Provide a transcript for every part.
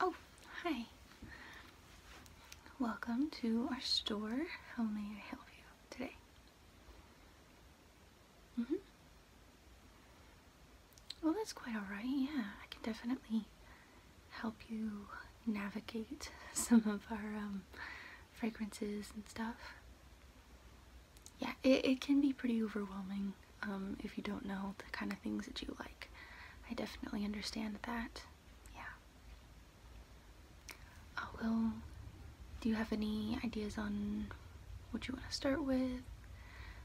Oh, hi. Welcome to our store. How may I help you today? Mm hmm Well, that's quite alright. Yeah, I can definitely help you navigate some of our um, fragrances and stuff. Yeah, it, can be pretty overwhelming um, if you don't know the kind of things that you like. I definitely understand that. Yeah. Uh, well, do you have any ideas on what you want to start with?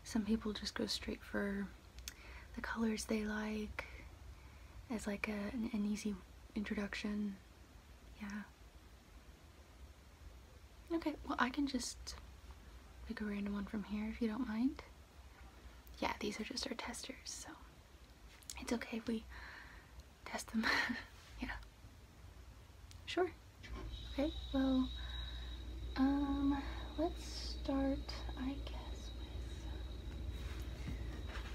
Some people just go straight for the colors they like as like an, an easy introduction. Yeah. Okay, well I can just pick a random one from here if you don't mind. Yeah, these are just our testers, so it's okay if we test them. yeah. Sure. Okay, well, um let's start, I guess,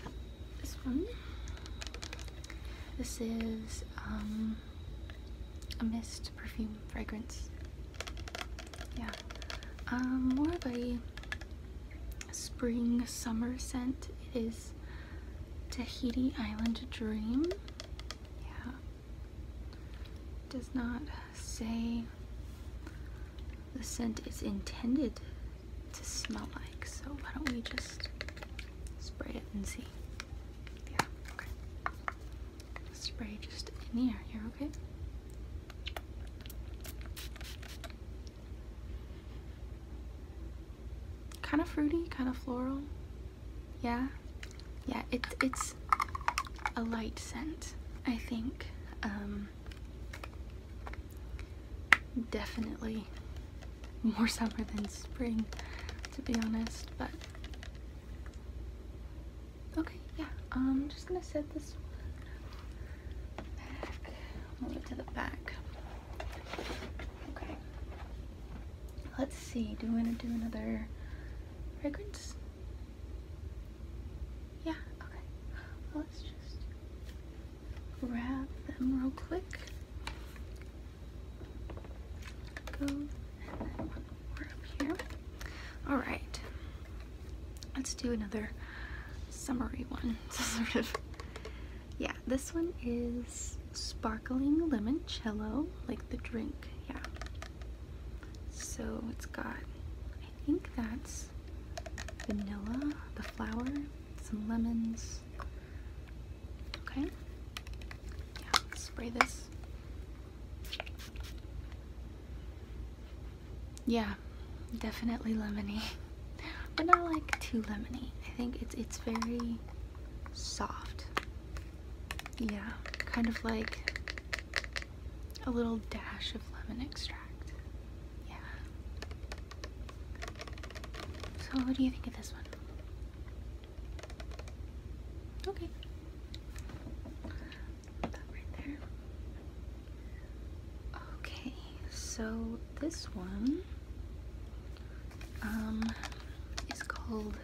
with this one. This is um, a mist perfume fragrance. Yeah, um, more of a spring summer scent. It is Tahiti Island Dream. Yeah, does not say the scent is intended to smell like. So why don't we just spray it and see? Yeah, okay. Spray just in the air here, okay? Kind of fruity, kind of floral. Yeah, yeah. It, it's a light scent, I think. Um, definitely more summer than spring, to be honest, but okay, yeah, I'm just gonna set this one back, move it to the back. Okay, let's see, do we wanna do another fragrance? Yeah, okay. Well, let's just grab them real quick. Alright. Let's do another summary one. yeah, this one is sparkling limoncello, like the drink, yeah. So it's got I think that's vanilla, the flour, some lemons. Okay. spray this. Yeah, definitely lemony. But not like too lemony. I think it's it's very soft. Yeah, kind of like a little dash of lemon extract. Yeah. So, what do you think of this one? Okay. Put that right there. Okay, so this one um, is called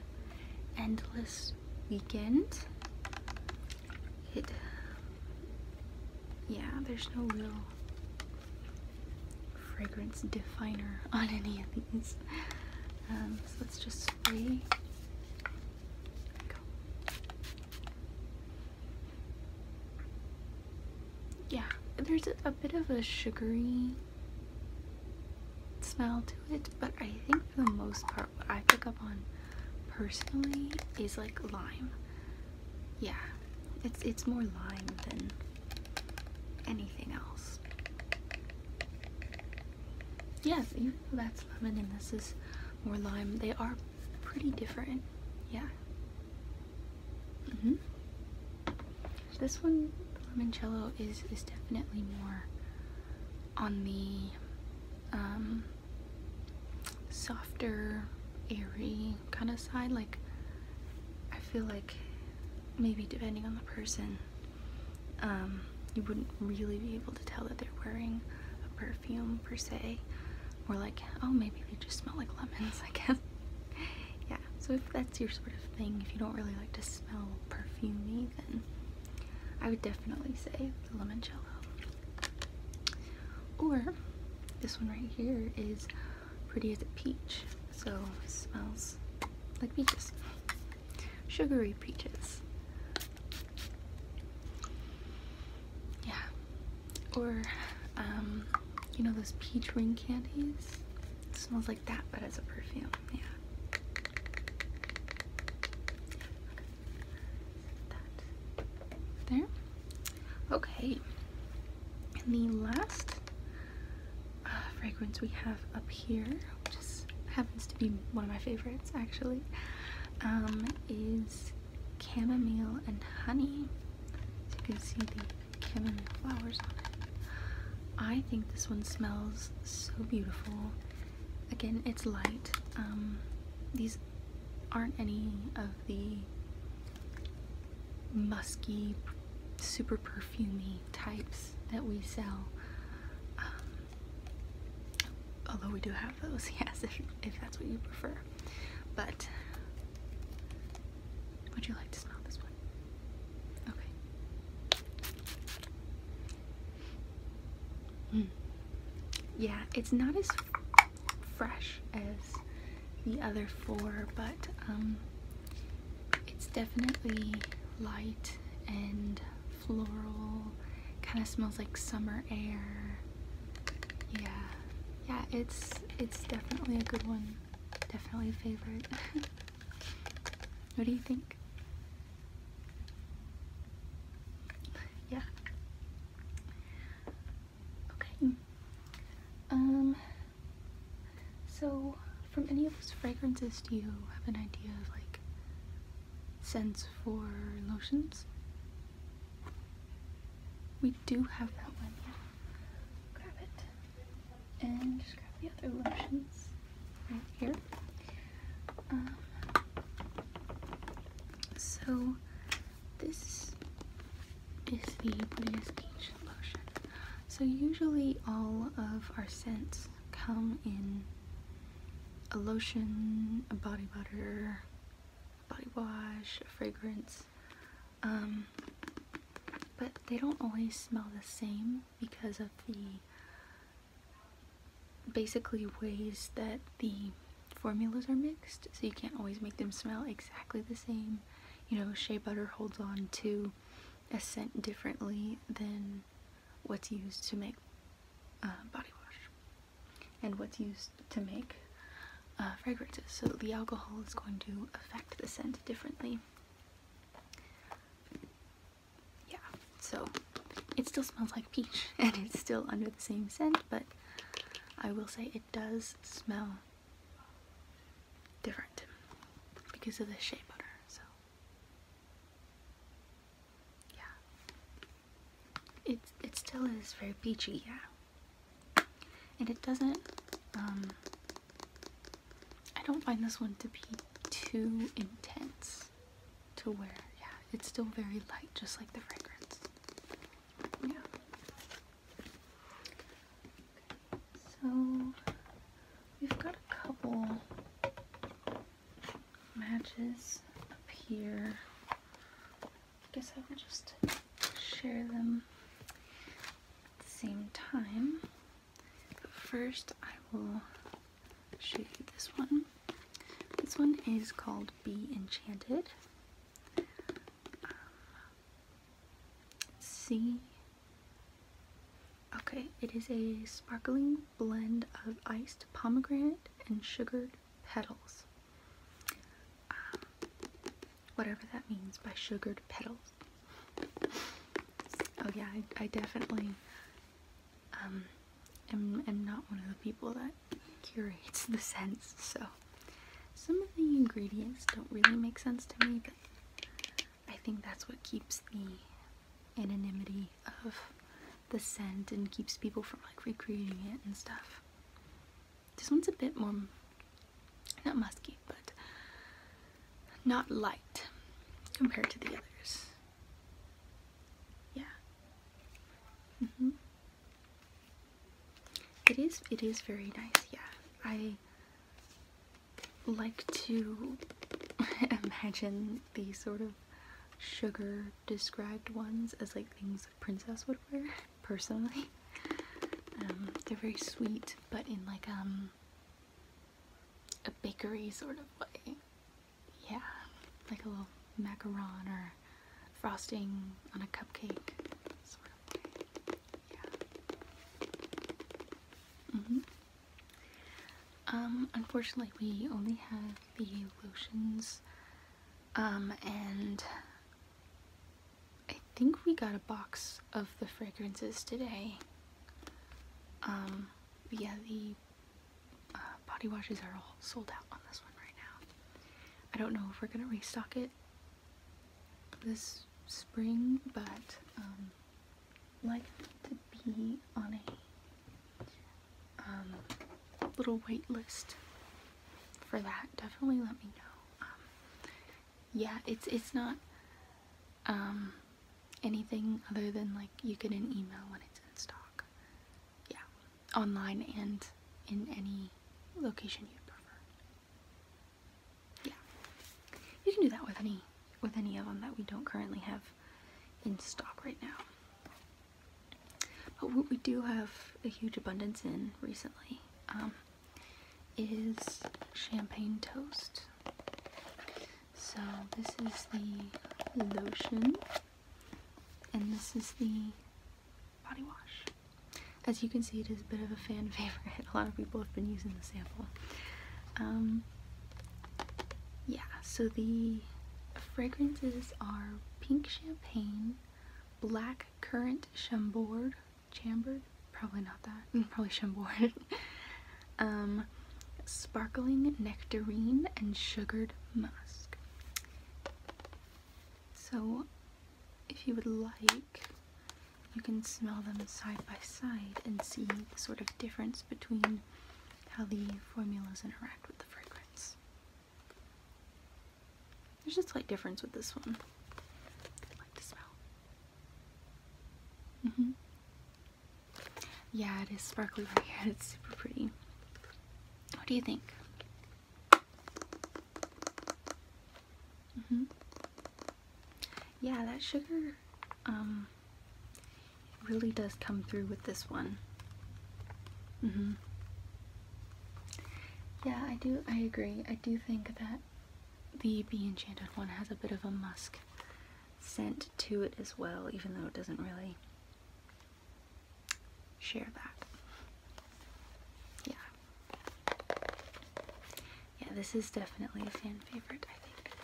Endless Weekend yeah there's no real fragrance definer on any of these um, so let's just spray yeah there's a bit of a sugary smell to it but I think for the most part what I pick up on personally is like lime. Yeah. It's it's more lime than anything else. Yes, you know that's lemon and this is more lime. They are pretty different. Yeah. Mm-hmm. This one, limoncello, is is definitely more on the um, softer, airy kind of side. Like, I feel like maybe depending on the person, um, you wouldn't really be able to tell that they're wearing a perfume per se. Or like, oh, maybe they just smell like lemons, I guess. yeah, so if that's your sort of thing, if you don't really like to smell perfumey, then I would definitely say the limoncello. Or this one right here is pretty as a peach, so smells like peaches. Sugary peaches. Yeah. Or, um, you know those peach ring candies? smells like that, but as a perfume. Yeah there. Okay, and the last uh, fragrance we have up here, which happens to be one of my favorites actually, um, is chamomile and honey. So you can see the chamomile flowers on it. I think this one smells so beautiful. Again, it's light. Um, these aren't any of the musky, super perfumy types that we sell. Um, although we do have those, yes, if, if that's what you prefer. But would you like to smell this one? Okay. Hmm. Yeah, it's not as fresh as the other four, but um, it's definitely light and floral. Kind of smells like summer air. Yeah, yeah, it's it's definitely a good one. Definitely a favorite. what do you think? yeah. Okay. Um. So, from any of those fragrances, do you have an idea of like scents for lotions? We do have that one. Yeah. Grab it. And just grab the other lotions right here. Um, so this is the Buddhist Peach Lotion. So usually all of our scents come in a lotion, a body butter, body wash, a fragrance. Um, but they don't always smell the same because of the basically ways that the formulas are mixed so you can't always make them smell exactly the same you know shea butter holds on to a scent differently than what's used to make uh, body wash and what's used to make uh, fragrances so the alcohol is going to affect the scent differently yeah, so it still smells like peach and it's still under the same scent, but I will say it does smell different because of the shea butter. So, yeah, it, it still is very peachy, yeah. And it doesn't, um, I don't find this one to be too intense to wear. Yeah, it's still very light, just like the fragrance. Yeah. So we've got a couple matches up here. I guess I will just share them at the same time. first I will show you this one. This one is called Be Enchanted. C. Um, okay, it is a sparkling blend of iced pomegranate and sugared petals. Um, whatever that means by sugared petals. Oh yeah, I definitely i am, am not one of the people that curates the scents, so some of the ingredients don't really make sense to me, but I think that's what keeps the anonymity of the scent and keeps people from like recreating it and stuff. This one's a bit more, not musky, but not light compared to the others yeah mm-hmm. it is it is very nice yeah i like to imagine these sort of sugar described ones as like things a princess would wear personally um, they're very sweet but in like um a bakery sort of way yeah, like a little macaron or frosting on a cupcake sort of Yeah. Mm-hmm. Um, unfortunately we only have the lotions. Um, and I think we got a box of the fragrances today. Um, yeah, the uh, body washes are all sold out on this one right now. I don't know if we're gonna restock it this spring, but I'd um, like to be on a um, little wait list for that. Definitely let me know. Um, yeah, it's it's not anything other than like you get an email when it's in stock. Yeah, online and in any location you prefer. Yeah, you can do that with any with any of them that we don't currently have in stock right now. But what we do have a huge abundance in recently um, is champagne toast. So this is the lotion and this is the body wash. As you can see it is a bit of a fan favorite. A lot of people have been using the sample. Um, yeah, so the fragrances are pink champagne, black currant chambord, chambered, probably not that, probably chambord, um, sparkling nectarine and sugared musk. So, if you would like, you can smell them side by side and see the sort of difference between how the formulas interact with the fragrance. There's a slight difference with this one. like the smell. -hmm. Yeah, it is sparkly right here. It's super pretty. What do you think? Mm-hmm. Yeah, that sugar um, really does come through with this one. Mm-hmm. Yeah, I do. I agree. I do think that the Bee Enchanted one has a bit of a musk scent to it as well, even though it doesn't really share that. Yeah. Yeah, this is definitely a fan favorite, I think.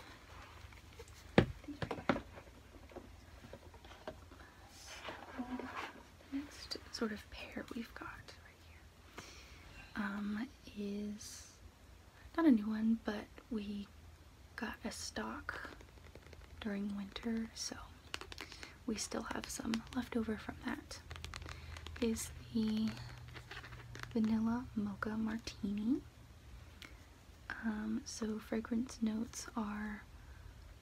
the next sort of pair we've got right here um, is not a new one, but we got a stock during winter, so we still have some left over from that. Is the vanilla mocha martini. Um, so fragrance notes are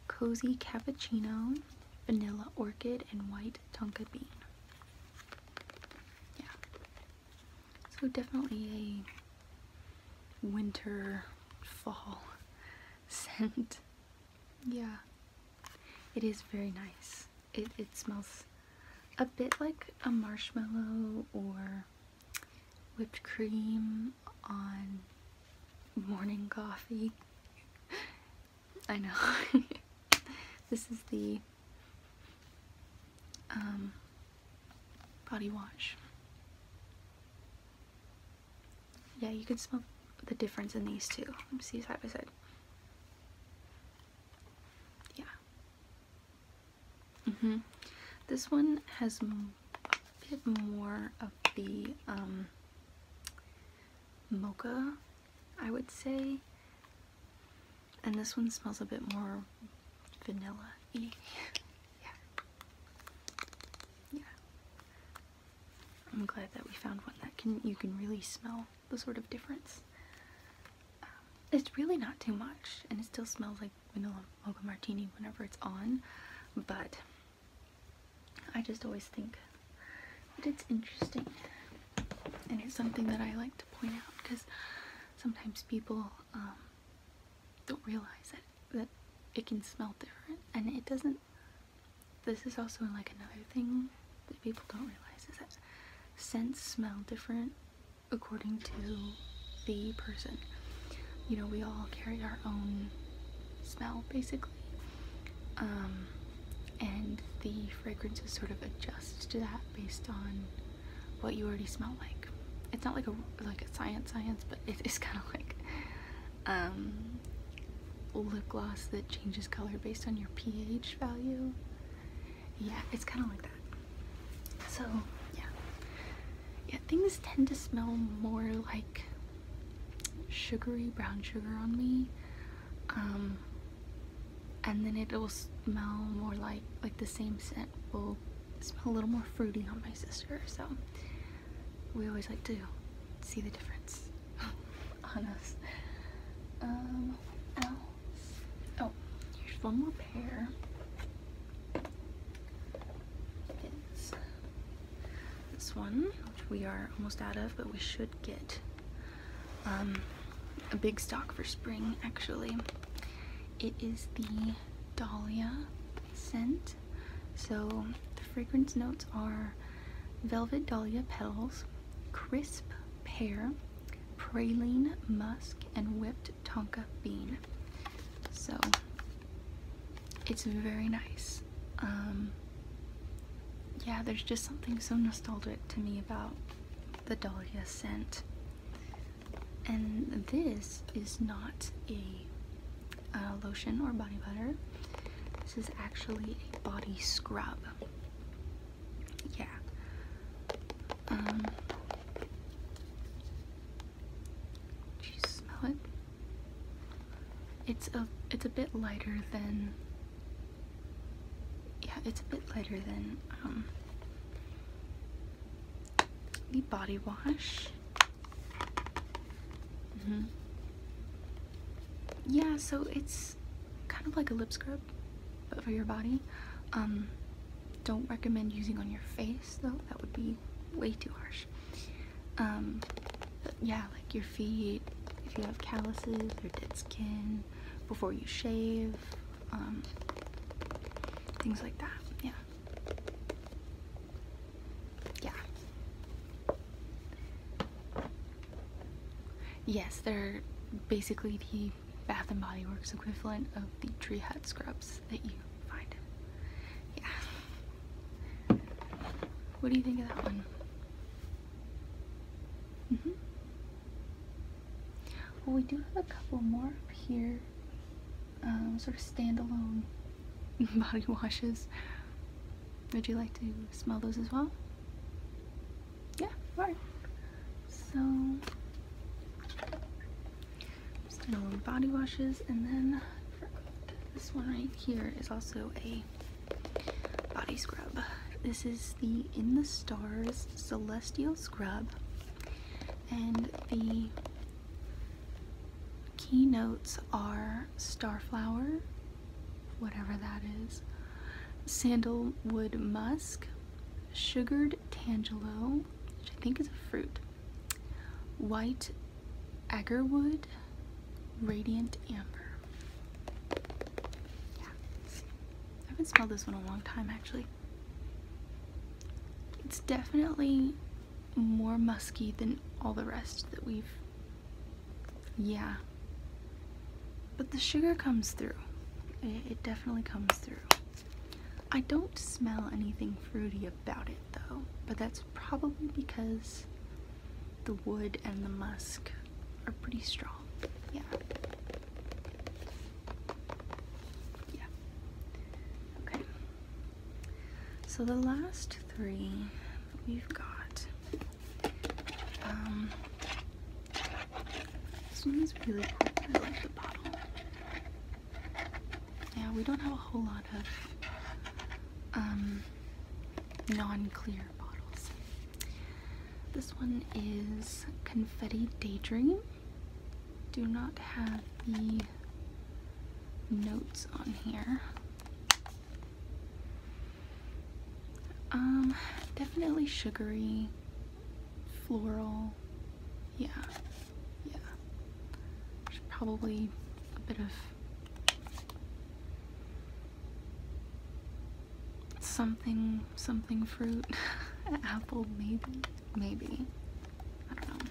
cozy cappuccino, vanilla orchid, and white tonka bean. Yeah, so definitely a winter, fall scent. Yeah, it is very nice. It, it smells a bit like a marshmallow or whipped cream on morning coffee. I know. this is the um, body wash. Yeah, you can smell the difference in these two. Let me see side by side. Yeah. hmm This one has a bit more of the um, mocha, I would say. And this one smells a bit more vanilla y. yeah. Yeah. I'm glad that we found one that can you can really smell the sort of difference. Um, it's really not too much, and it still smells like vanilla mocha martini whenever it's on, but I just always think that it's interesting, and it's something that I like to point out because sometimes people um, don't realize that, it can smell different. And it doesn't, this is also like another thing that people don't realize is that scents smell different according to the person. You know, we all carry our own smell basically. Um, and the fragrances sort of adjust to that based on what you already smell like. It's not like a like a science science, but it is kind of like um, lip gloss that changes color based on your pH value. Yeah, it's kind of like that. So yeah, yeah, things tend to smell more like sugary brown sugar on me. Um, and then it'll smell more like like the same scent will smell a little more fruity on my sister so we always like to see the difference on us um oh here's one more pair this one which we are almost out of but we should get um, a big stock for spring actually. It is the Dahlia scent. So the fragrance notes are velvet dahlia petals, crisp pear, praline musk, and whipped tonka bean. So it's very nice. Um, yeah, there's just something so nostalgic to me about the dahlia scent. And this is not a uh, lotion or body butter. This is actually a body scrub. Yeah. Um, do you smell it? It's a it's a bit lighter than yeah, it's a bit lighter than um, the body wash. Mm-hmm. Yeah, so it's kind of like a lip scrub, but for your body. Um, don't recommend using on your face though, that would be way too harsh. Um, yeah, like your feet, if you have calluses or dead skin, before you shave, um, things like that. Yeah. Yeah. Yes, they're basically the Bath and Body Works equivalent of the tree hut scrubs that you find. Yeah. What do you think of that one? hmm well, we do have a couple more up here. Um, sort of standalone body washes. Would you like to smell those as well? Yeah, alright. So, standalone body washes, and then this one right here is also a body scrub. This is the In the Stars Celestial scrub. And the key notes are starflower, whatever that is, sandalwood musk, sugared tangelo, which I think is a fruit, white agarwood, radiant amber. I haven't smelled this one a long time actually. It's definitely more musky than all the rest that we've, yeah. But the sugar comes through. it definitely comes through. I don't smell anything fruity about it though, but that's probably because the wood and the musk are pretty strong. Yeah. Yeah. Okay. So the last three we've got. Um, this one is really cool. I like the bottle. Yeah, we don't have a whole lot of um, non-clear bottles. This one is Confetti Daydream. Do not have the notes on here. Um, definitely sugary, floral, yeah, yeah. There's probably a bit of something something fruit. apple, maybe? Maybe. I don't know.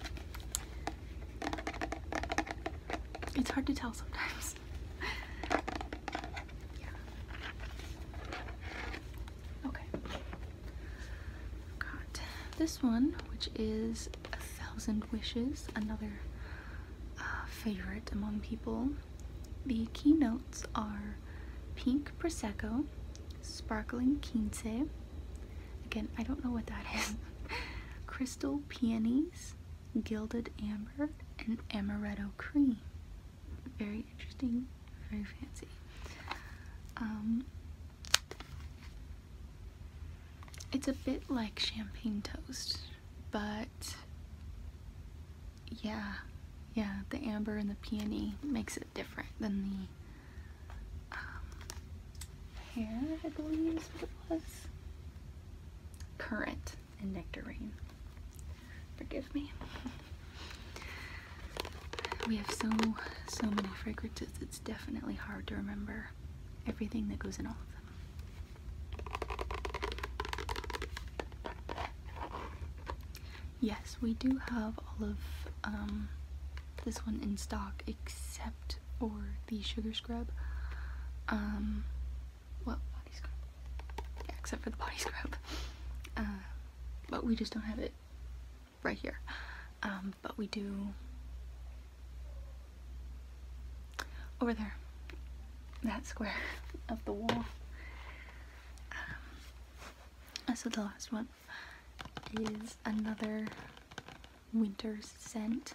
It's hard to tell sometimes. Okay. Got this one, which is A Thousand Wishes, another uh, favorite among people. The key notes are pink prosecco, sparkling quince. Again, I don't know what that is. Crystal peonies, gilded amber, and amaretto cream. Very interesting, very fancy. Um, it's a bit like champagne toast, but yeah, yeah, the amber and the peony makes it different than the um, hair, I believe was. Currant and nectarine. Forgive me. We have so, so many fragrances, it's definitely hard to remember everything that goes in all of them yes, we do have all of um, this one in stock except for the sugar scrub. Um, well, body scrub. except for the body scrub. Uh, but we just don't have it right here. Um, but we do over there. That square of the wall. Um, so the last one is another winter scent.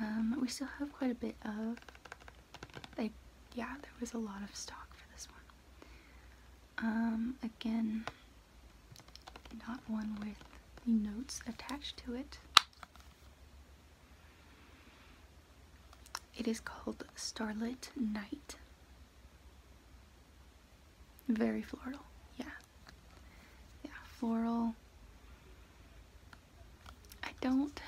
Um, we still have quite a bit of, like, yeah, there was a lot of stock for this one. Um, again, not one with the notes attached to it. It is called Starlit Night. Very floral, yeah. Yeah, floral. I don't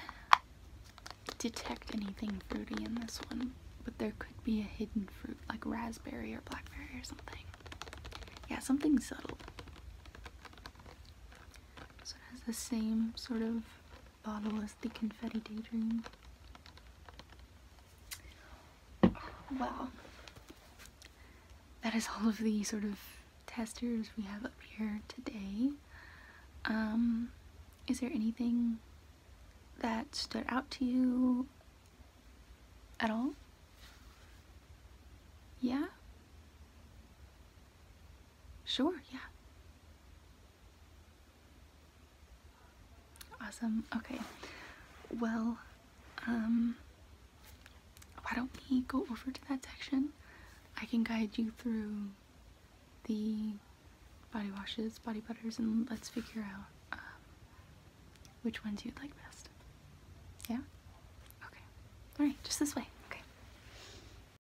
detect anything fruity in this one, but there could be a hidden fruit, like raspberry or blackberry or something. Yeah, something subtle. So it has the same sort of the bottle the Confetti Daydream. Wow. That is all of the sort of testers we have up here today. Um, is there anything that stood out to you at all? Yeah? Sure, yeah. Awesome. Okay. Well, um, why don't we go over to that section? I can guide you through the body washes, body butters, and let's figure out um, which ones you'd like best. Yeah? Okay. Alright, just this way. Okay.